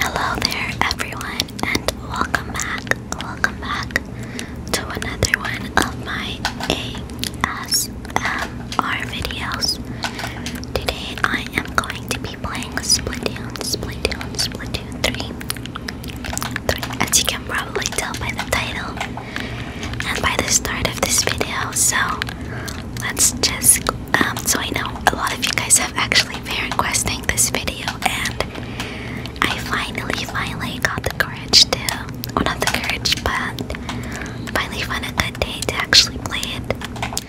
Hello there, everyone, and welcome back, welcome back to another one of my ASMR videos. Today, I am going to be playing Splatoon, Splatoon, Splatoon 3. 3. As you can probably tell by the title and by the start of this video, so let's just. Um, so I know a lot of you guys have actually finally for requesting this video, and I finally, finally got the courage to, not the courage, but finally found a day to actually play it.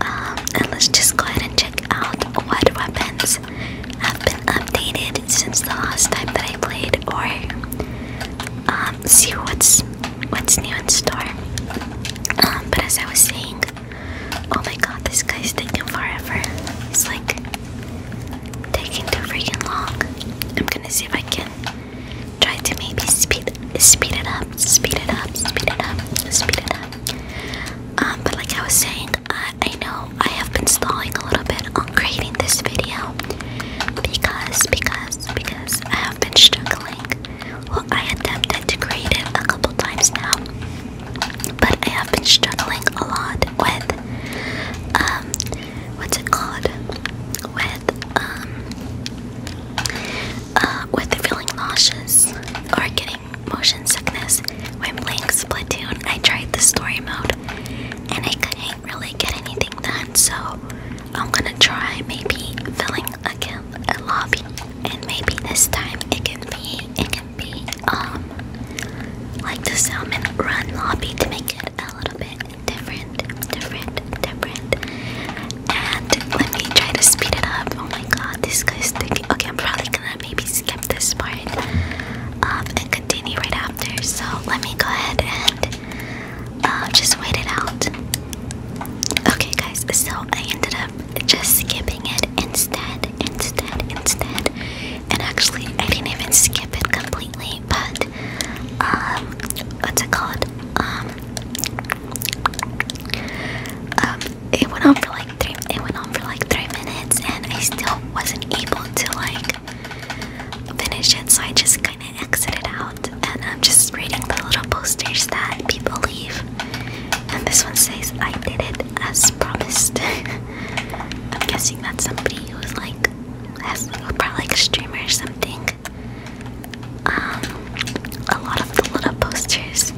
Um, and let's just go ahead and check out what weapons have been updated since the last time that I played, or um, see what's what's new in store. Um, but as I was saying, Oh my god, this guy's taking forever. It's like taking too freaking long. I'm gonna see if I can try to maybe speed speed it up, speed it up, speed it up, speed it up. Um, but like I was saying, I, I know I have been stalling a little bit on creating this video because because because I have been struggling. Well, I attempted to create it a couple times now, but I have been struggling a lot with um what's it called? With um uh with feeling nauseous or getting motion sickness when playing Splatoon. I tried the story mode and I couldn't really get anything done, so I'm gonna try maybe filling again a lobby and maybe this time it can be it can be um like the salmon run lobby to make it a little bit different, different, different. And let me try to speed it up. Oh my god, this guy's Okay, I'm probably gonna maybe skip this part um, and continue right after. So let me go ahead and uh, just wait it out. Okay, guys, so I ended up just skipping it instead, instead, instead. And actually, I didn't even skip it completely, but um, what's it called? Um, um, it went on for like three. It went on for like three minutes, and I still wasn't able to like finish it. So I just kind of exited out, and I'm just reading the little posters that people leave. And this one says, "I did it as as promised. I'm guessing that's somebody who's like has like a probably like a streamer or something. Um a lot of the little posters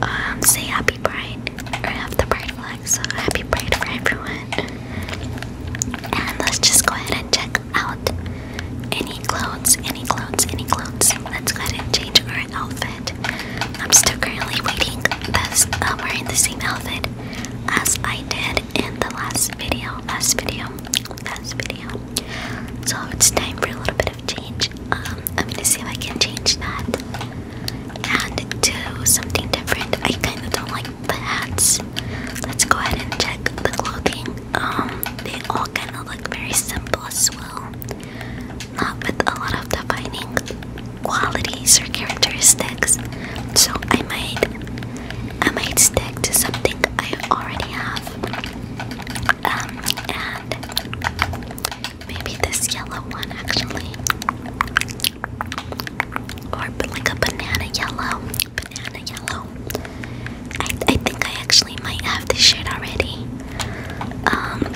um say happy pride or have the pride flag, so happy pride for everyone. And let's just go ahead and check out any clothes, any clothes, any clothes. Let's go ahead and change our outfit. I'm still currently waiting I'm uh, wearing the same outfit as I did in the last video, last video, last video. So it's time for a little bit of change. Um, I'm gonna see if I can change that and do something different. I kind of don't like the hats. Let's go ahead and check the clothing. Um, they all kind of look very simple as well not with a lot of defining qualities or characteristics. So I might I might stick to something I already have. Um, and maybe this yellow one actually. Or like a banana yellow. Banana yellow. I, I think I actually might have this shade already. Um,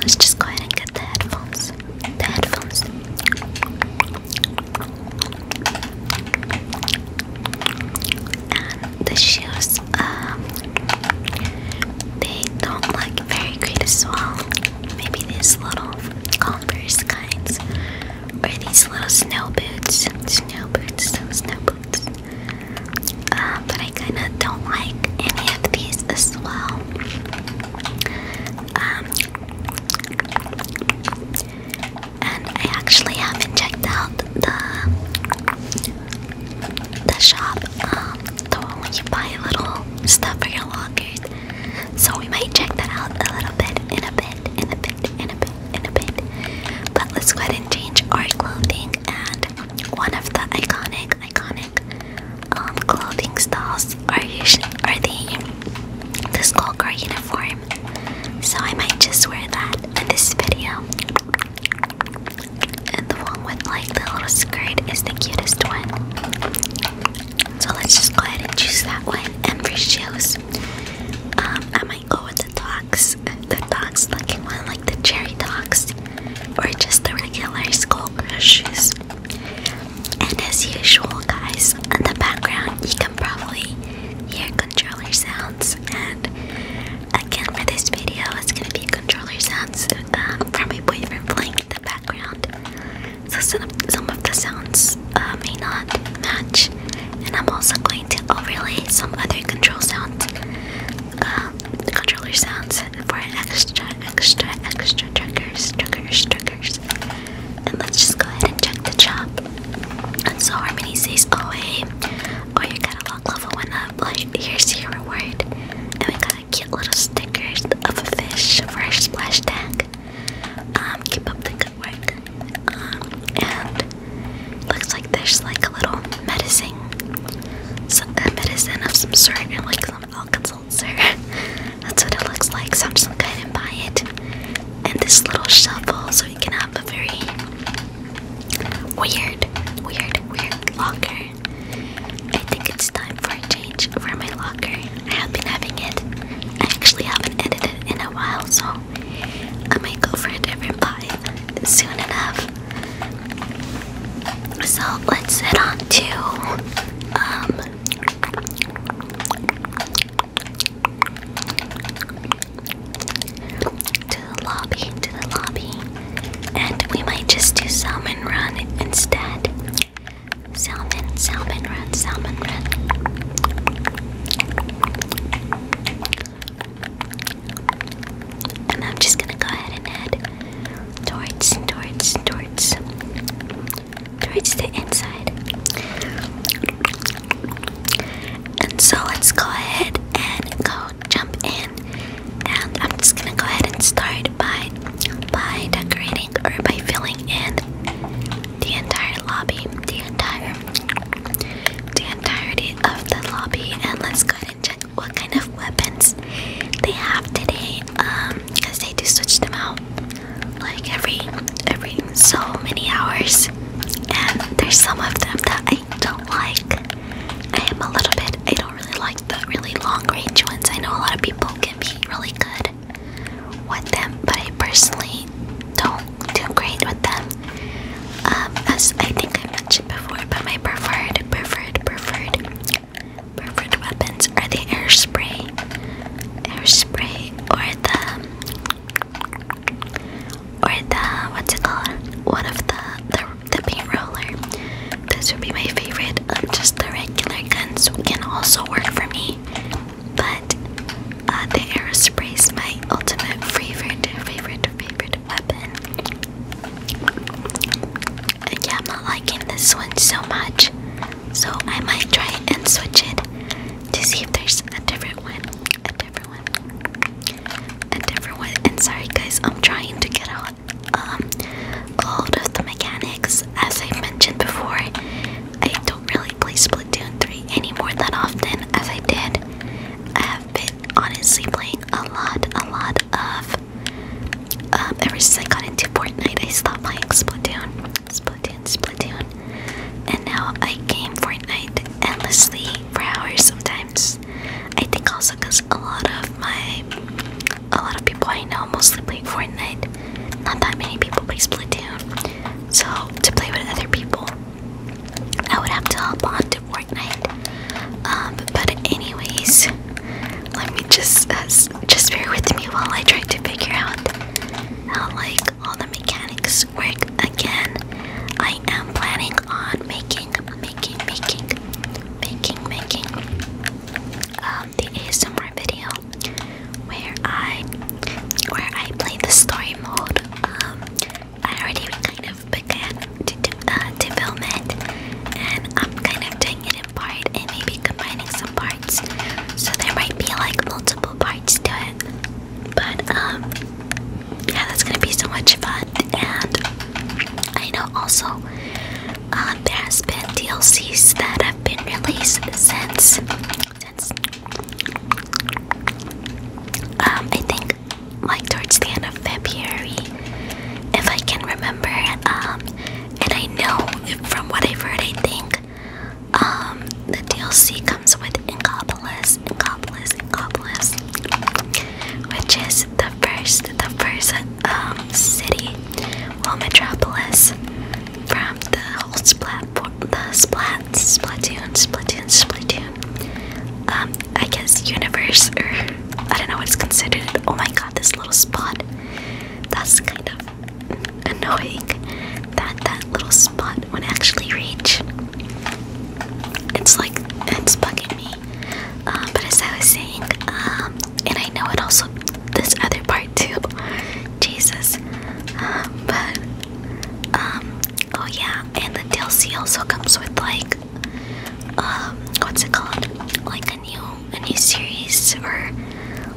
let's just go ahead and get the headphones. The headphones. the shoes, um, they don't look very great as well. Maybe these little Converse kinds, or these little snow boots. Snow boots, snow boots. Uh, but I kind of don't like any of these as well. Um, and I actually haven't checked out the the shop, um, the one where you buy little stuff for your lockers. So we might check that out a little bit in a bit, in a bit, in a bit in a bit. But let's go ahead and change our clothing and one of the iconic, iconic um, clothing styles are usually are the the skullgirl uniform. So I might just wear that in this video. And the one with like the little skirt is the cutest one. So let's just go ahead and choose that one. And for shoes, I might go with the dogs, the dogs looking one, like the cherry dogs, or just the regular school crushes. And as usual, guys, in the background you can probably hear controller sounds. And again, for this video, it's gonna be controller sounds um, from my boyfriend playing in the background. So some, some of the sounds uh, may not match and I'm also going to overlay some other control sounds, um, controller sounds for extra, extra, extra triggers, triggers, triggers. And let's just go ahead and check the chop. so Harmony says, "Oh hey, or oh, your catalog level went up. here's your reward." And we got cute little stickers of a fish for our splash tag. Um, keep up the good work. Um, and Looks like there's like a little medicine, some a uh, medicine of some sort, and like some alka seltzer. That's what it looks like. So I'm just gonna go ahead and buy it. And this little shovel, so we can have a very weird, weird, weird locker. I think it's time for a change for my locker. I have been having it. I actually haven't edited it in a while, so I might go for a different vibe soon enough. So let's head on to um to the lobby, to the lobby, and we might just do salmon run instead. Salmon, salmon run, salmon run. And I'm just gonna go ahead and head towards, towards, towards, towards the inside. And so let's go ahead and go jump in. And I'm just gonna go ahead and start by by decorating or by filling in the entire lobby, the entire the entirety of the lobby and let's go and check what kind of weapons they have today. Um, because they do switch them out like every every so many hours. And there's some of them that I don't like. I am a little bit I don't really like the really long range ones. I know a lot of people can be really good with them, but I personally don't do great with them. Um, as I think I mentioned before, but my preferred, preferred, preferred, preferred weapons are the air spray, air spray, or the, or the what's it called? One of the the, the paint roller. This would be my favorite. Um, just the regular guns can also work for me, but uh, the air spray is my ultimate favorite, favorite, favorite weapon yeah, I'm not liking this one so much. So I might try and switch it to see if there's a different one. A different one. A different one. And sorry guys, I'm trying to get out um all of the mechanics. As I mentioned before, I don't really play Splatoon 3 any more that often as I did. I have been honestly playing a lot, a lot of. Um, ever since I got into Fortnite, I stopped playing Splatoon, Splatoon, Splatoon, and now I game Fortnite endlessly for hours sometimes. I think also because a lot of my, a lot of people I know mostly play Fortnite. Not that many people play Splatoon, so to play with other people I would have to hop on to Fortnite. Um, but anyways, let me just uh, just bear with me while I try to figure out how like all the mechanics work again. I am planning on making, making, making, making, making um, the ASMR video where I where I play the story mode. Um, I already kind of began to do, uh, to film and I'm kind of doing it in part and maybe combining some parts, so there might be like multiple parts to it. But um, yeah, that's gonna be so much fun, and I know also uh, there has been DLCs that have been released since since um, I think like towards the end of February, if I can remember. Um, and I know from what I've heard, I think um, the DLC comes with Inkopolis, Inkopolis, Inkopolis, which is the first, the first um, city, well, metropolis from the whole splat, the splat, Splatoon, Splatoon, Splatoon um, I guess universe, or I don't know what it's considered. Oh my god, this little spot. That's kind of annoying that that little spot would actually reach. It's like, it's bugging me. Uh, but as I was saying, um, and I know it also, this other part too. Jesus. Uh, but, um, oh yeah, and the DLC also comes with like um what's it called? Like a new a new series or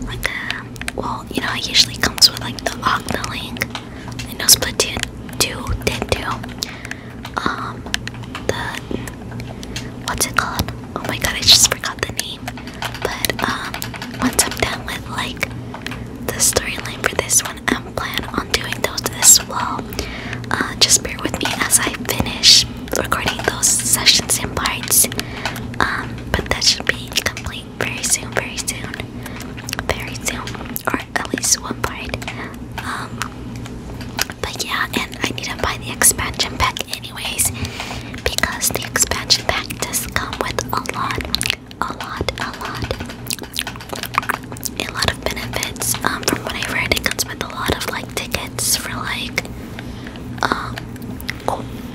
like a well, you know it usually comes with like the Octolink. I know Splatoon 2 did too. Um the what's it called? Oh my god, I just forgot the name. But um once I'm done with like the storyline for this one, on and plan on doing those as well. Uh, just bear with me as I finish recording those sessions and parts. Um, but that should be complete very soon, very soon, very soon, or at least one part. Um, but yeah, and I need to buy the expansion pack anyways because the expansion pack does come with a lot, a lot, a lot, a lot of benefits. Um, from what I've heard, it comes with a lot of like tickets for like um,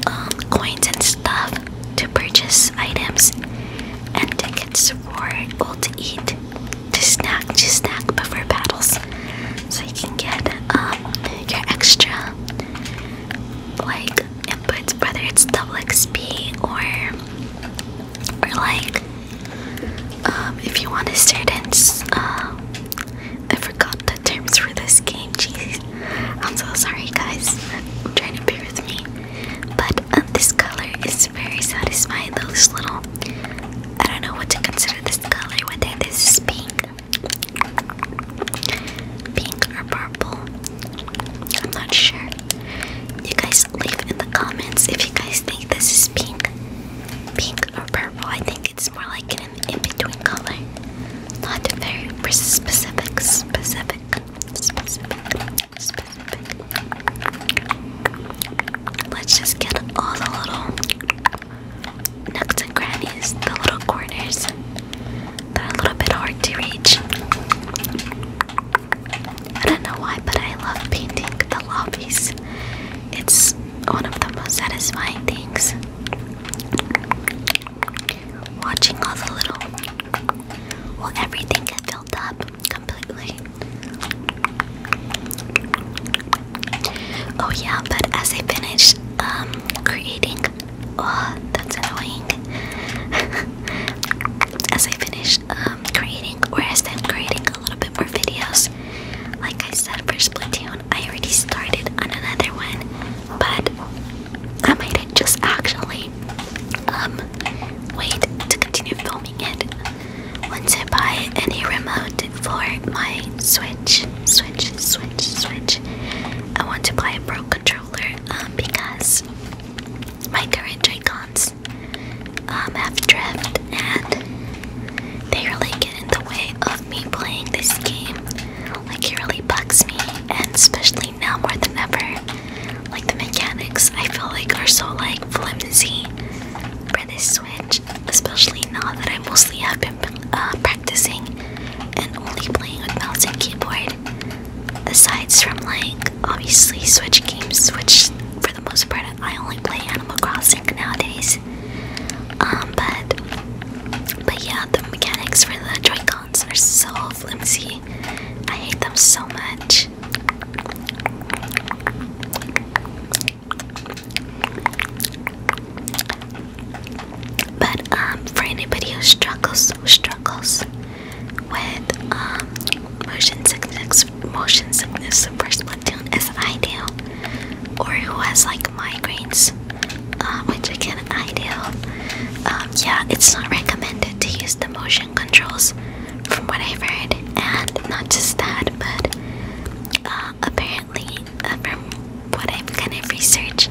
um coins and stuff to purchase items and tickets for what to eat, to snack, to snack before battles, so you can get um your extra like inputs, whether it's double XP or or like um, if you want to start dance, I forgot the terms for this game jeez I'm so sorry guys I'm trying to bear with me but um, this color is very satisfying those little I don't know what to consider this color whether this is pink pink or purple I'm not sure you guys leave in the comments if you guys think this is pink pink or purple. I think it's more like an in-between color. Not very specific, specific, specific, specific. Let's just get all the little nooks and crannies, the little corners that are a little bit hard to reach. I don't know why, but I love painting the lobbies. It's one of the most satisfying things. Watching all the little. Well, everything get filled up completely. Oh, yeah, but as I finish um, creating. Oh, that's annoying. as I finish. Um, um, creating, or as I'm creating a little bit more videos. Like I said, for Splatoon, I already started on another one, but I might just actually um, wait to continue filming it once I buy any remote for my Switch. Switch, Switch, Switch. I want to buy a Pro controller um, because my current Joy-Cons um, have drift and they really get in the way of me playing this game. Like, it really bugs me, and especially now more than ever. Like, the mechanics I feel like are so like flimsy for this Switch, especially now that I mostly have been uh, practicing and only playing with mouse and keyboard. Aside from like obviously Switch games, which for the most part I only play Animal Crossing nowadays. Um, but but yeah, the mechanics for the joy are so flimsy. I hate them so much. But um, for anybody who struggles, struggles with um, motion sickness, motion sickness first platoon as I do, or who has like migraines, uh, which can I do. Um, yeah, it's not recommended to use the motion controls, from what I've heard, and not just that, but uh, apparently uh, from what I've kind of research,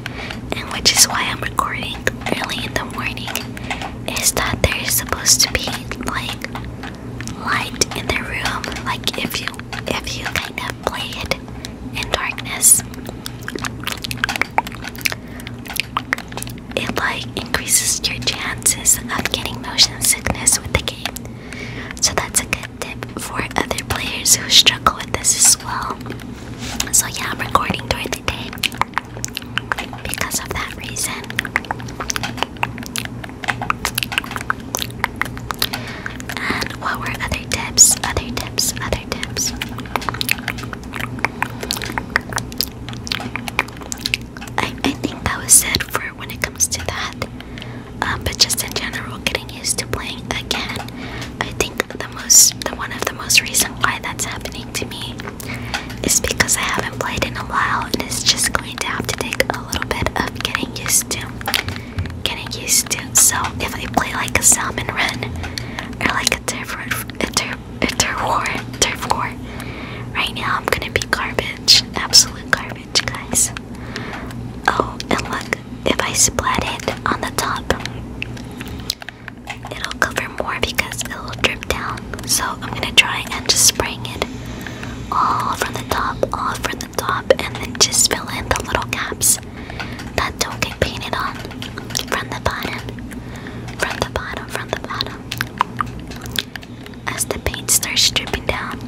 and which is why I'm recording early in the morning, is that there is supposed to be like light in the room, like if you if you kind of play it in darkness, it like increases your chances of getting motion sickness with the game. So that's a good tip for other players who struggle with this as well. So yeah, I'm recording during the day because of that reason. And what were other tips? Other tips, other tips. I, I think that was it for when it comes to that. Um, but just in general, getting used to playing again. I think the most, the one of the most reason why that's happening to me is because I haven't played in a while, and it's just going to have to take a a little bit of getting used to. Getting used to. So if I play like a salmon run or like a turf war, turf, turf war, turf war, right now I'm gonna be garbage, absolute garbage, guys. Oh, and look, if I splat it on the top, it'll cover more because it'll drip down. So I'm gonna try and just spraying it all from the top, all from the top, and then just fill in the little gaps that don't get painted on from the bottom, from the bottom, from the bottom. As the paint starts dripping down.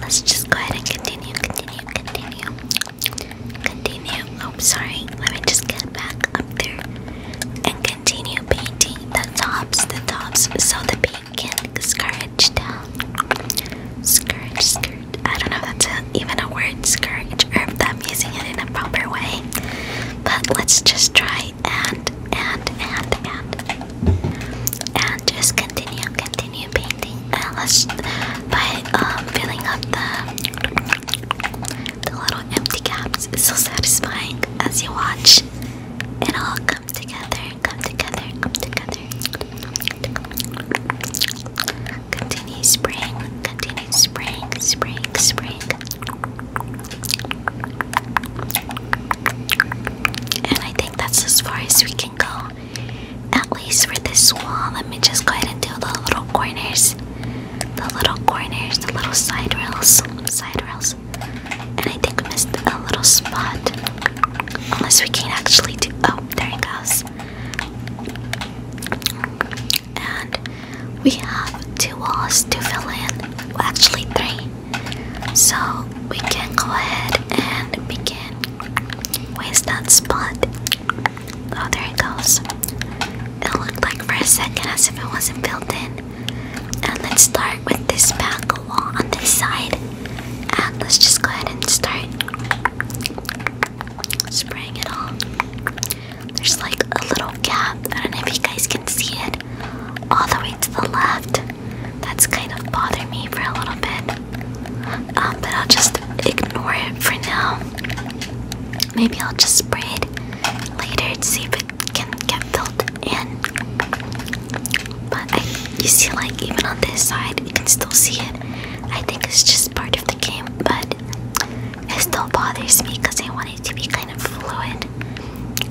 let's just go ahead and continue, continue, continue, continue. Oh, sorry. Let me just get back up there and continue painting the tops, the tops, so the paint can scourge down. Scourge, scourge. I don't know if that's even a word, scourge, or if I'm using it in a proper way. But let's just try and, and, and, and, and just continue, continue painting. And uh, let's, by um, filling up the, the little empty gaps, so satisfying as you watch. It all comes together, come together, come together. Continue spring, continue spring, spring, spring. And I think that's as far as we can go. At least for this wall, let me just go ahead and do the little corners. The little corners, the little side rails, side rails, and I think we missed a little spot. Unless we can actually do. Oh, there it goes. And we have two walls to fill in. Well, actually, three. So we can go ahead and begin. Where's that spot? Oh, there it goes. It looked like for a second as if it wasn't built in. And let's start with this back wall on this side. And let's just go ahead and start spraying it all. There's like a little gap. I don't know if you guys can see it all the way to the left. That's kind of bothering me for a little bit. Um, but I'll just ignore it for now. Maybe I'll just spray it later to see can get filled in. But you see, like even on this side, you can still see it. I think it's just part of the game, but it still bothers me because I want it to be kind of fluid.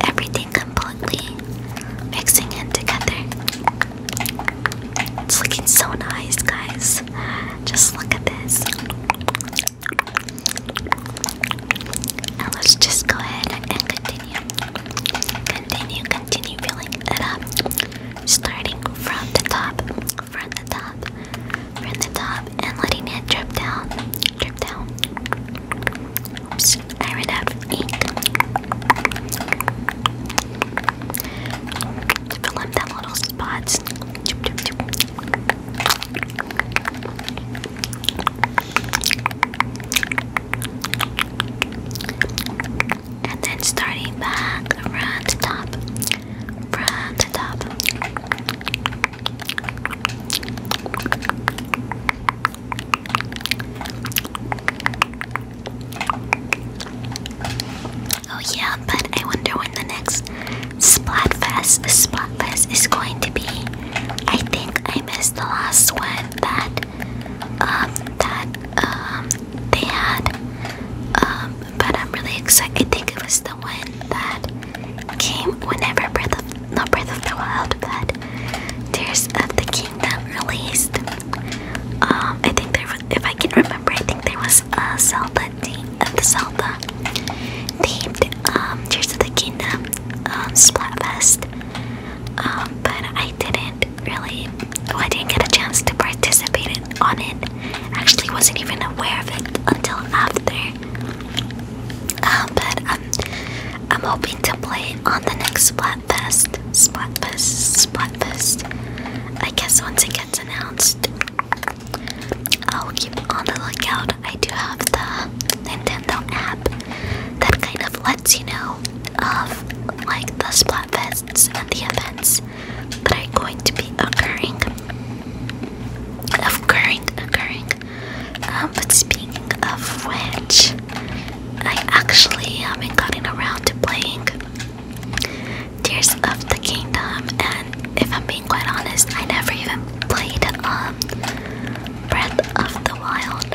Everything completely mixing in together. It's looking so nice, guys. Just look at this let's just go ahead and continue. Continue, continue filling it up. Starting from the top, from the top, from the top, and letting it drip down, drip down. Oops, I ran out of ink. To fill up that little spots. And then starting back around the top, around the top. Oh yeah, but I wonder when the next Splatfest, Splatfest is going to be. I think I missed the last one that um that um they had um but I'm really excited I think it was the one that came whenever Breath of not Breath of the Wild but Tears of the Kingdom released. Um I think there was, if I can remember I think there was a Zelda theme of the Zelda themed um Tears of the Kingdom um Splatfest um, but I didn't really, well, I didn't get a chance to participate in, on it. Actually, wasn't even aware of it until after. Uh, but um, I'm hoping to play on the next Splatfest. Splatfest, Splatfest. I guess once it gets announced, I'll keep on the lookout. I do have the Nintendo app that kind of lets you know of like the Splatfests and the events that are going to be occurring. Occurring, occurring. Um, but speaking of which, I actually haven't um, gotten around to playing Tears of the Kingdom, and if I'm being quite honest, I never even played um Breath of the Wild.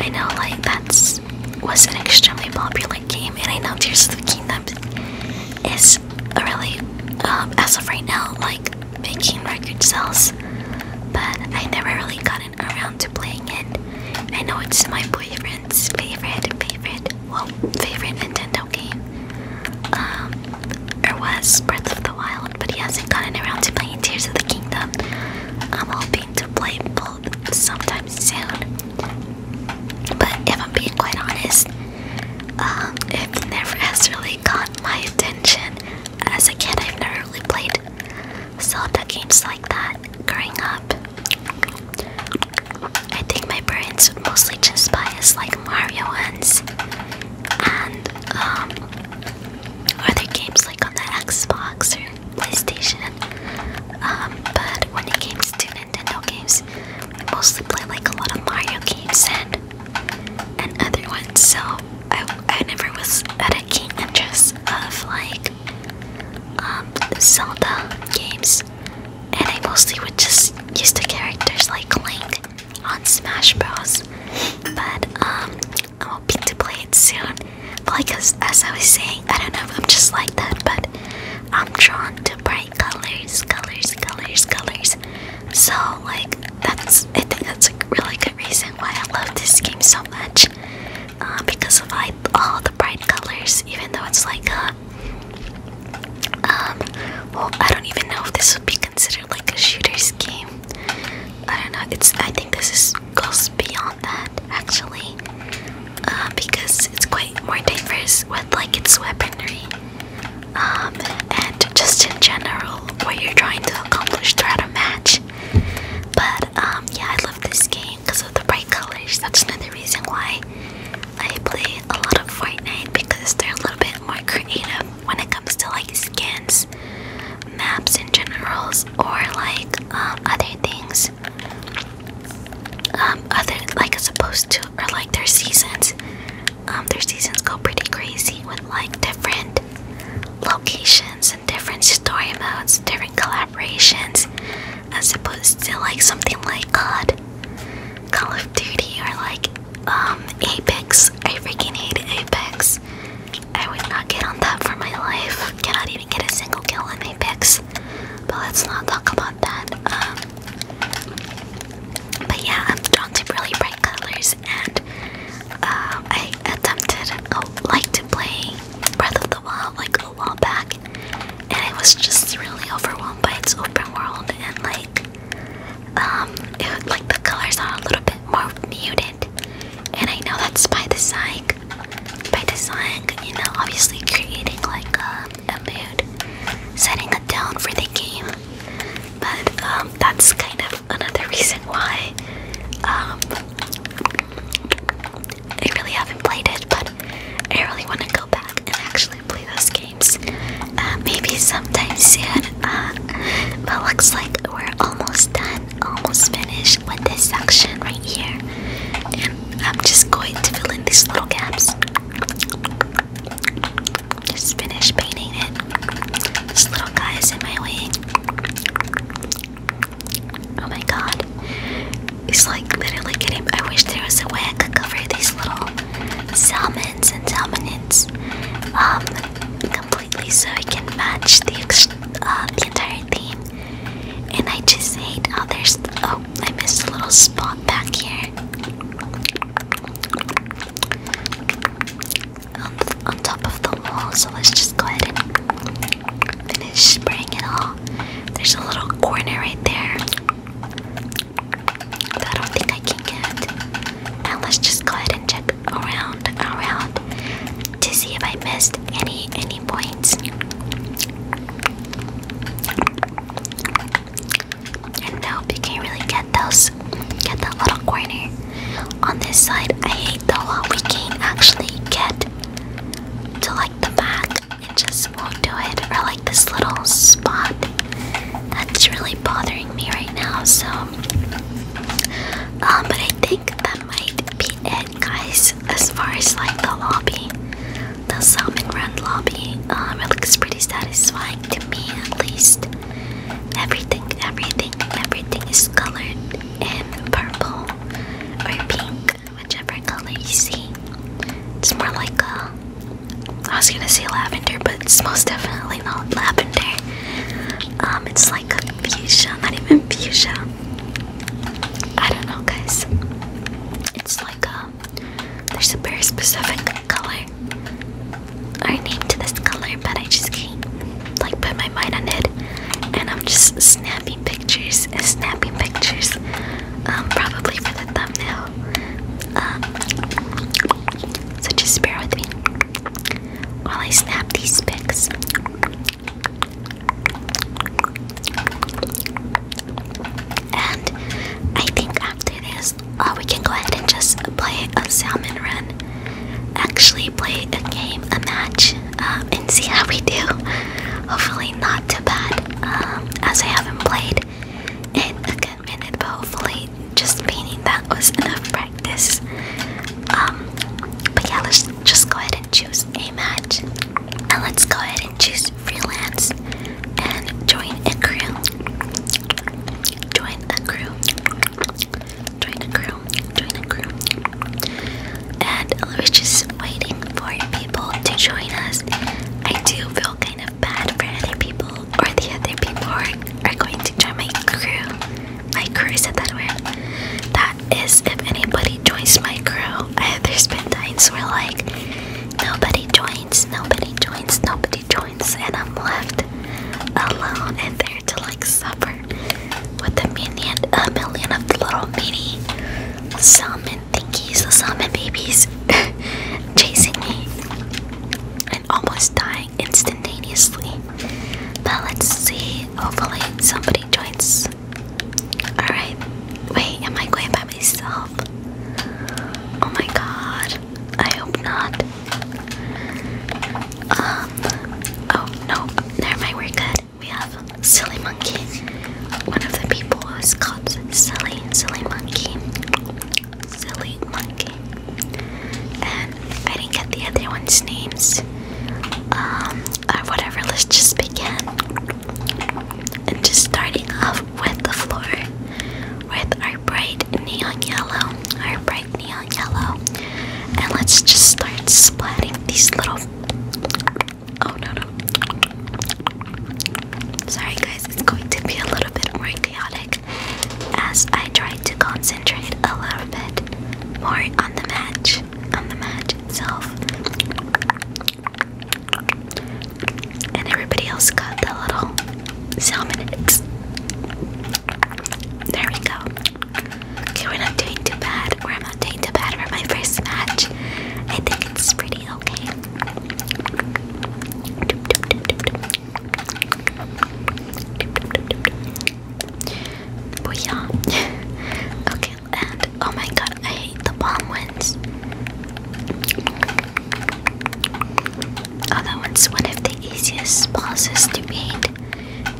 I know, like, that's was an extremely popular game, and I know Tears of the Kingdom is a really, um, as of right now, like, making record sales, but I never really gotten around to playing it. I know it's my boyfriend's favorite, favorite, well, favorite Nintendo game. Um, there was Breath of the Wild, but he hasn't gotten around to playing Tears of the Kingdom. I'm hoping to play both sometime soon. But if I'm being quite honest, um, it never has really caught my attention. As a kid, I've never really played Zelda games like that growing up. I think my parents mostly just bias like Mario ones and um, are games like on the Xbox or PlayStation? Um, but when it comes to Nintendo games, I mostly play like a lot of Mario games and and other ones. So I I never was at a keen interest of like um Zelda games, and I mostly would just use the characters like Link on Smash Bros. But um I'm hoping to play it soon. But like as, I was saying, I don't know if I'm just like that, but I'm drawn to bright colors, colors, colors, colors. So like that's I think that's a really good reason why I love this game so much. Uh, because of like all the bright colors, even though it's like a uh, um, well, I don't even know if this would be considered like a shooter's game, I don't know. It's. I think this is goes beyond that actually, uh, because it's quite more diverse with like its weaponry, um, and just in general what you're trying to accomplish throughout a match. But um, yeah, I love this game because of the bright colors. That's another reason why I play a lot of Fortnite because they're a little bit more creative when it comes to like skins, maps in generals, or like um, other things, um, other like as opposed to or like their seasons. Um, their seasons go pretty crazy with like different locations and different story modes, different collaborations, as opposed to like something like COD, Call of Duty, or like Apex. I freaking hate Apex. I would not get on that for my life. Cannot even get a single kill in my picks. But let's not talk about that. Um, but yeah, I'm drawn to really bright colors, and uh, I attempted, oh, like to play Breath of the Wild like a while back, and I was just really overwhelmed by its open world and like. Um, like the colors are a little bit more muted and I know that's by the design. By design, you know, obviously creating like a, mood, setting a tone for the game. But um, that's kind of another reason why um, I really haven't played it, but I really want to go back and actually play those games. Uh, maybe sometime soon. Uh, but looks like we're almost done almost finished with this section right here. And I'm just going to fill in these little gaps. Just finish painting it. This little guy is in my way. Oh my god. It's like literally getting. I wish there was a way I could cover these little salmons and salmonids. Um, so it can match uh, the entire theme. And I just hate Oh, there's oh I missed a little spot back here on, on top of the wall. So let's just go ahead and finish spraying it all. There's a little corner right there that I don't think I can get. Now let's just go ahead and check around around to see if I missed any any points. And nope, you can't really get those get that little corner. On this side, I hate the law. we can't actually get to like the back. It just won't do it. Or like this little spot that's really bothering me right now, so um but I I think that might be it, guys, as far as like the lobby. The Salmon Run lobby. Um, it looks pretty satisfying to me, at least. Everything, everything, everything is colored in purple or pink, whichever color you see. It's more like a. I was gonna say lavender, but it's most definitely really loud lavender. Um, it's like fuchsia, not even fuchsia. I don't know, guys. It's like a um, there's a very specific color I named this color, but I just can't like put my mind on it. And I'm just snapping pictures and uh, snapping pictures, um, probably for the thumbnail. Um, so just bear with me while I snap these pics. And I think after this, uh, we can go ahead and just play a salmon run. Actually, play a game, a match, um, and see how we do. Hopefully, not too bad, um, as I haven't played in a good minute, but hopefully, just meaning that was enough practice this. Um, but yeah, let's just go ahead and choose a match. And let's go ahead and choose freelance and join a crew. Join a crew. Join a crew. Join a crew. And we're just waiting for people to join us. I do feel kind of bad for other people, or the other people are going to join my crew my crew. Is it that word? That is if anybody joins my crew. I, have there's been times where like nobody joins, nobody joins, nobody joins, and I'm left alone in there to like suffer with a million, a million of little mini salmon thingies, the salmon babies chasing me and almost dying instantaneously. But let's see. Hopefully somebody joins. Alright. Wait, am I going by myself? Oh my god. I hope not. Um oh no, never mind, we're good. We have Silly Monkey. One of the people was called Silly, Silly Monkey. Silly Monkey. And I didn't get the other one's names. Um, whatever, let's just begin. And just starting off with the floor with our bright neon yellow, our bright neon yellow. And let's just start splatting these little. Oh no, no. Sorry, guys, it's going to be a little bit more chaotic as I try to concentrate a little bit more on the match, on the match itself. And everybody else got the little salmonids. There we go. Okay, we're not doing too bad. Or i not doing too bad for my first match. I think it's pretty okay. Booyah. okay, and oh my god, I hate the bomb ones. Oh, that one's one of the easiest bosses to beat.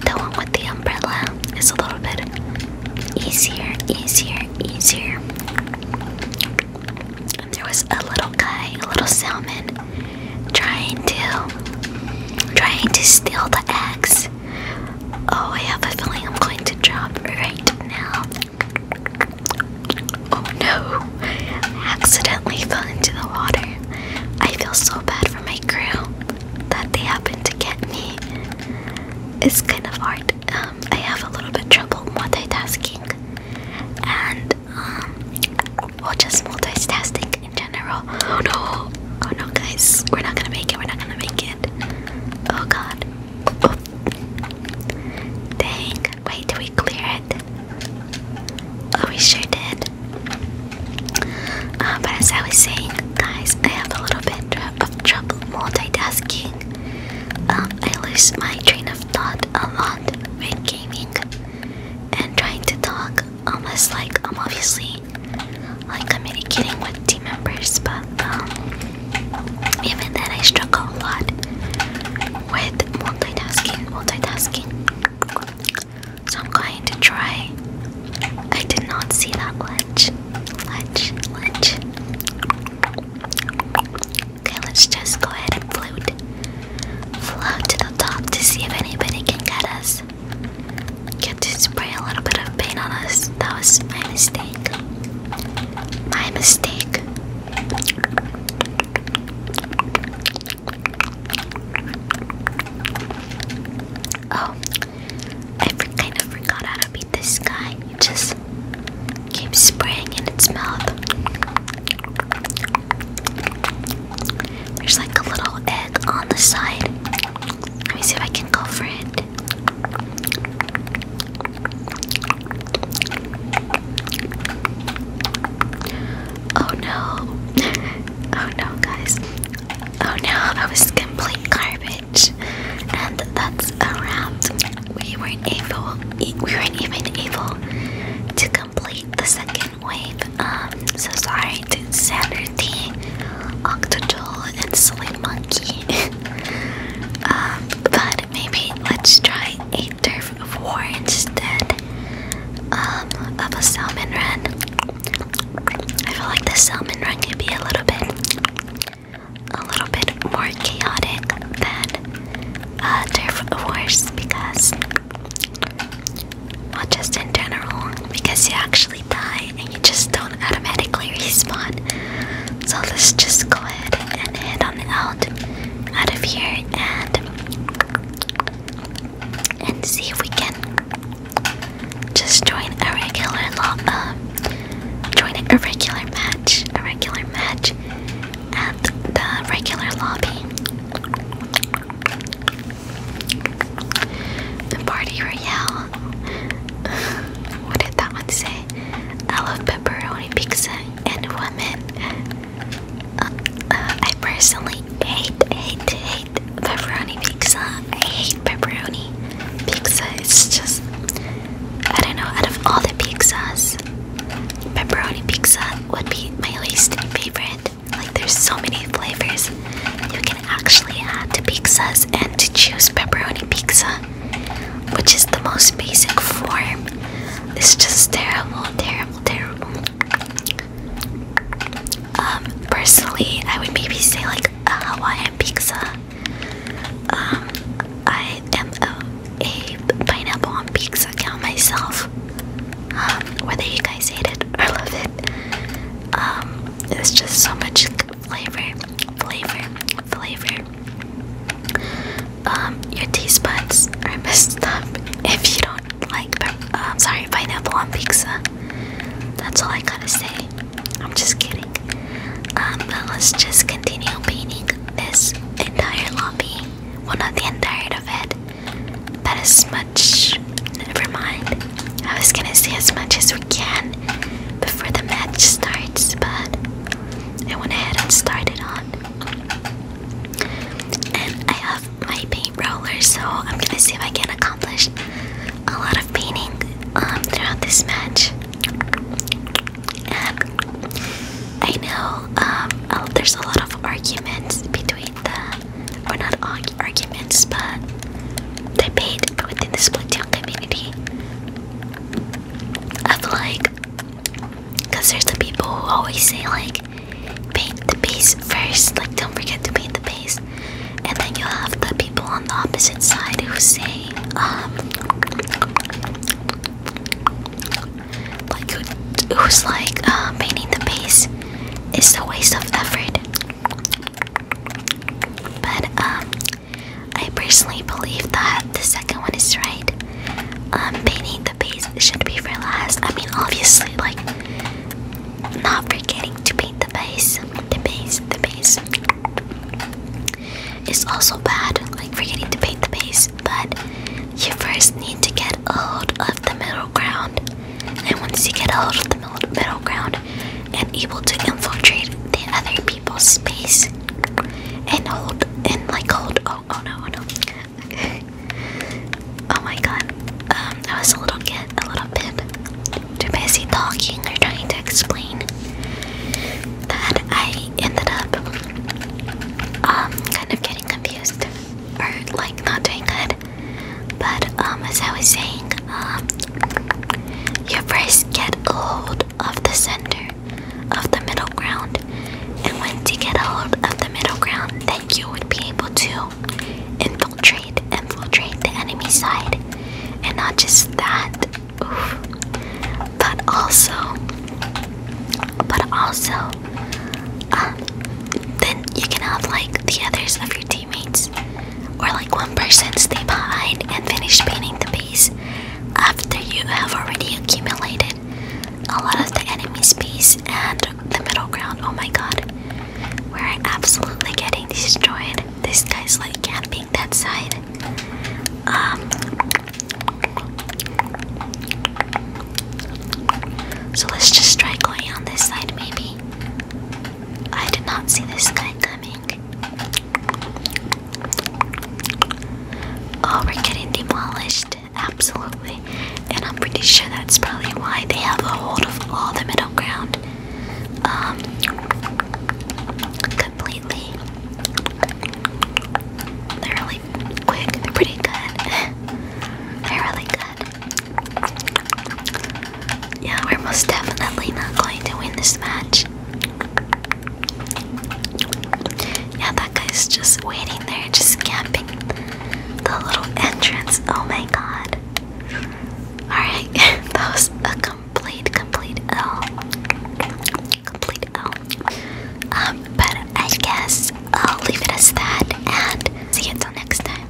The one with the umbrella is a little bit easier, easier, easier. And there was a little guy, a little salmon, trying to, trying to steal the eggs Oh, I have a feeling I'm going to drop right now. Oh no, accidentally fell into the water. I feel so bad for my crew that they happened to get me. It's kind of hard. Um, I have a little bit trouble multitasking, and um, well, just multitasking in general. Oh no! Oh no, guys, we're not gonna make it. We're not gonna make it. Oh god! Oh. Dang! Wait, did we clear it? Oh, we sure did. Uh, but as I was saying, guys, I have a little bit of trouble multitasking. Um, I lose my train of thought a lot when gaming and trying to talk, unless like I'm obviously like communicating with team members, but um, even then I struggle a lot with multitasking. Multitasking. So I'm going to try. I did not see that ledge. Ledge. Ledge. Okay, let's just go ahead and float. Float to the top to see if anybody can get us. Get to spray a little bit of paint on us. That was my mistake. My mistake. Oh, I kind of forgot how to beat this guy. He just keeps spraying in its mouth. There's like a little egg on the side. Let me see if I can call Fred. Oh no. Oh no, guys. Oh no, I was complete garbage. And that's a wrap. We weren't able we weren't even able to complete the second wave. Um so sorry Saturday, Octojaw, and Silly Monkey. Um, but maybe let's try a Turf of War instead um, of a Salmon Run. I feel like the Salmon Run can be a little bit, a little bit more chaotic than uh, Turf of Wars because not just in general, because you actually die and you just don't automatically respawn. So let's just go ahead and head on out out of here and and see if we can just join a regular log, um, join a regular match, a regular match at the regular lobby. The party royale. what did that one say? I love pepperoni pizza and women. Uh, uh, I personally hate, hate, hate pepperoni pizza. I hate pepperoni pizza. It's just, I don't know, out of all the pizzas, pepperoni pizza would be my least favorite. Like, there's so many flavors you can actually had pizzas and to choose pepperoni pizza, which is the most basic form. It's just terrible, terrible, terrible. Um, personally, I would maybe say like a Hawaiian pizza. Um, I am a, pineapple on pizza count myself. Um, whether you guys hate it or love it, um, it's just so much flavor, flavor, flavor. Um, your taste buds are messed up if you don't like. I'm um, sorry, pineapple on pizza. That's all I gotta say. I'm just kidding. Um, but let's just continue painting this entire lobby. Well, not the entire of it. That is my Never mind. I was gonna say as much as we can before the match starts, but I went ahead and started on. And I have my paint roller, so I'm gonna see if I can accomplish a lot of painting um, throughout this match. And I know um, oh, there's a lot of arguments between the, or not arguments, but they paid within the split town community. I feel like, cause there's the people who always say like, paint the base first, like don't forget to paint the base, and then you will have the people on the opposite side who say, um, like who's like uh, painting the base is a waste of effort. But um, I personally believe that the second one is right. Um, painting the base should be for last. I mean, obviously, like not forgetting to paint the base. The base, the base is also bad. Like forgetting to paint the base, but you first need to get out of the middle ground. And once you get a hold of the middle ground and able to infiltrate the other people's space and hold and like hold oh oh no oh no oh my god um I was a little kid a little bit too busy talking or trying to explain that I ended up um kind of getting confused or like not doing good but um as I was saying um you first get a hold of the center of the middle ground, and when you get a hold of the middle ground, then you would be able to infiltrate, infiltrate the enemy side, and not just that, but also, but also, uh, then you can have like the others of your or like one person stay behind and finish painting the piece after you have already accumulated a lot of the enemy's space and the middle ground. Oh my god. We're absolutely getting destroyed. This guy's like camping that side. Um so let's just try going on this side maybe. I did not see this guy coming. Oh, we're getting demolished. Absolutely. And I'm pretty sure that's probably why they have a hold of all the middle ground. Um, completely. They're really quick. They're pretty good. They're really good. Yeah, we're most definitely not going to win this match. Yeah, that guy's just waiting there, just camping the little entrance. Oh my god. Alright, that was a complete, complete L. Complete L. Um, but I guess I'll leave it as that and see you until next time.